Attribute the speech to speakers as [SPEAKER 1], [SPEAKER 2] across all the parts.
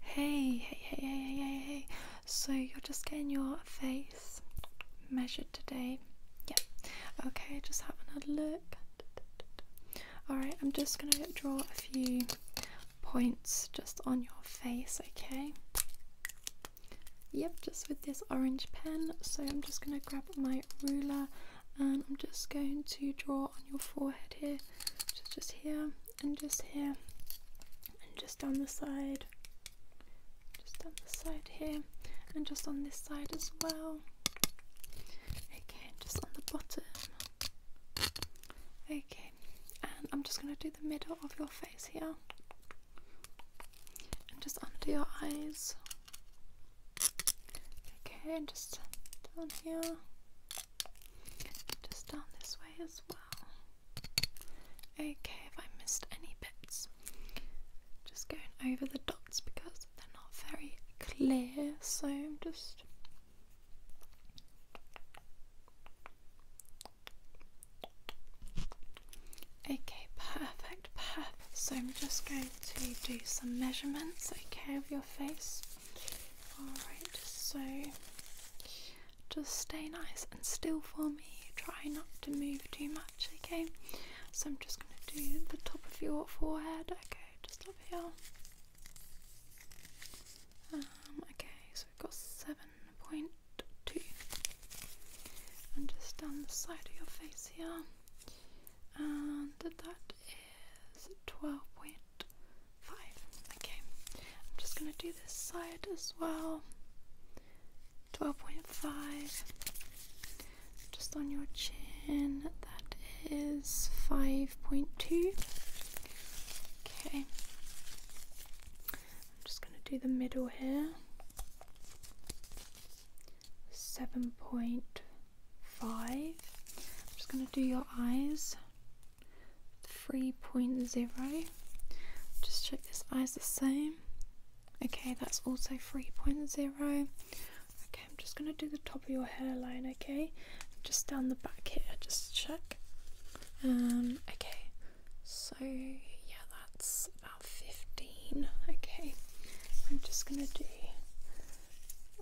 [SPEAKER 1] Hey, hey, hey, hey, hey, hey. So you're just getting your face measured today. Yep. Okay, just having a look. Alright, I'm just gonna draw a few points just on your face, okay? Yep, just with this orange pen. So I'm just gonna grab my ruler and I'm just going to draw on your forehead here, just here and just here and just down the side just down the side here and just on this side as well okay just on the bottom okay and I'm just going to do the middle of your face here and just under your eyes okay and just down here just down this way as well. Okay, if I missed any bits, just going over the dots because they're not very clear, so I'm just Okay, perfect, perfect. So I'm just going to do some measurements, okay, of your face. Alright, so just stay nice and still for me. Try not to move too much, okay? So I'm just going to do the top of your forehead, okay? Just up here. Um, okay, so we've got 7.2. And just down the side of your face here. And that is 12.9 five. Okay, I'm just gonna do this side as well. 12.5 just on your chin, that is 5.2. Okay, I'm just gonna do the middle here. 7.5. I'm just going to do your eyes. 3.0 just check this eye is the same okay that's also 3.0 okay I'm just gonna do the top of your hairline okay just down the back here just check um, okay so yeah that's about 15 okay I'm just gonna do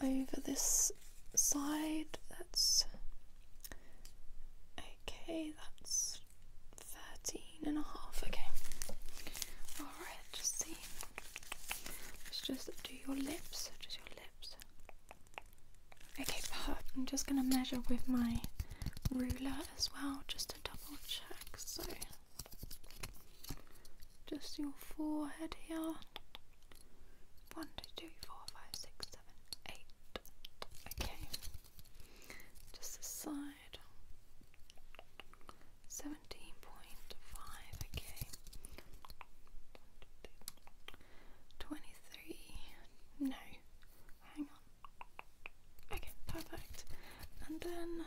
[SPEAKER 1] over this side that's Okay, that's 13 and a half. Okay. Alright, just see. Let's just do your lips. Just your lips. Okay, perfect. I'm just going to measure with my ruler as well, just to double check. So, just your forehead here. 1, 2, 3, 4, 5, 6, eight. Okay. Just this side. Seventeen point five. Okay. Twenty-three. No. Hang on. Okay. Perfect. And then,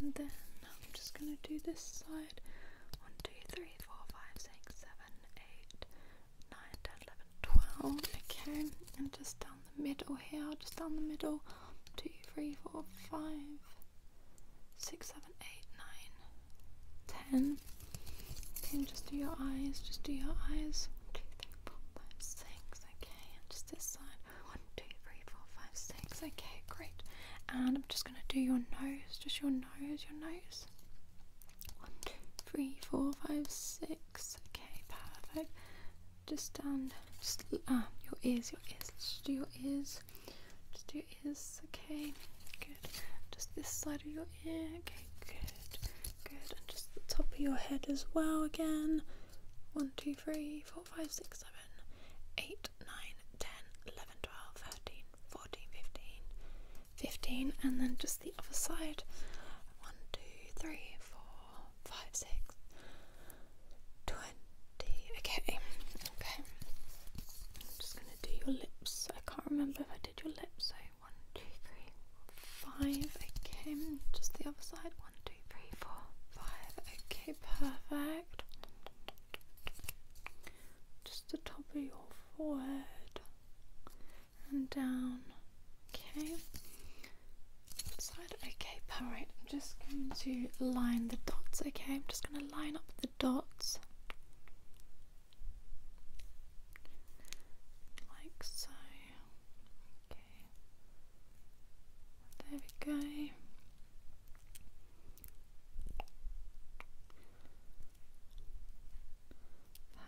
[SPEAKER 1] and then, I'm just gonna do this side. One, two, three, four, five, six, seven, eight. 9, Okay, and just down the middle here, just down the middle. Two, three, four, five, six, seven, eight, nine, ten. 3, Okay, just do your eyes, just do your eyes. 2, Okay, and just this side. 1, Okay, great. And I'm just going to do your nose, just your nose, your nose. One, two, three, four, five, six. Okay, perfect. Just down. Just ah, your ears, your ears. Just your ears. Just your ears. Okay, good. Just this side of your ear. Okay, good, good. And just the top of your head as well. Again. One, two, three, four, five, six, seven, eight, nine, ten, eleven, twelve, thirteen, fourteen, fifteen, 15 and then just the other side 1 2 3 4 5 6 20 okay okay i'm just going to do your lips i can't remember if i did your lips so 1 2 3 4 5 okay just the other side 1 2 3 4 5 okay perfect just the top of your forehead and down. Okay. Side. Okay, perfect. I'm just going to line the dots. Okay, I'm just going to line up the dots like so. Okay. There we go.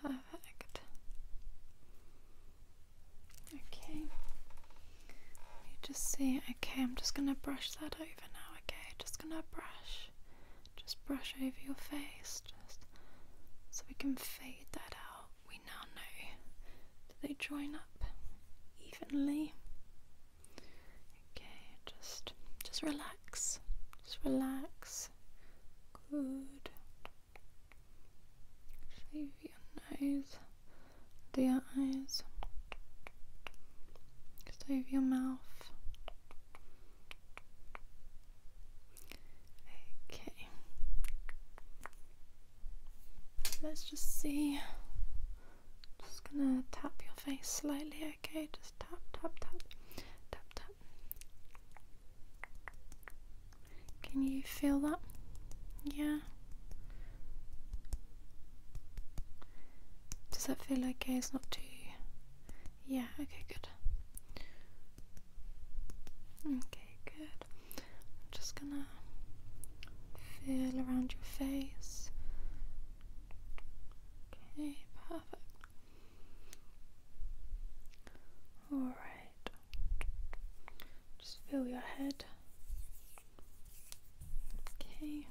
[SPEAKER 1] Perfect. Perfect. Okay. Let me just see. Okay, I'm just gonna brush that over now, okay? Just gonna brush. Just brush over your face, just so we can fade that out. We now know they join up evenly. Okay, just just relax. Just relax. Good. Shave your nose, do your eyes, shave your mouth. Okay, let's just see. Just gonna tap your face slightly, okay? Just tap, tap, tap, tap, tap, can you feel that? Yeah. Does that feel okay? It's not too. Yeah, okay, good. Okay, good. I'm just gonna feel around your face. Okay, perfect. Alright, just feel your head. Okay.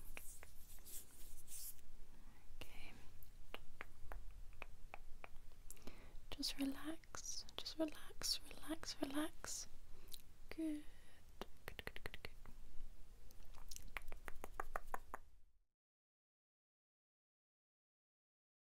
[SPEAKER 1] Okay. Just relax, just relax, relax, relax. Good. Good, good, good, good.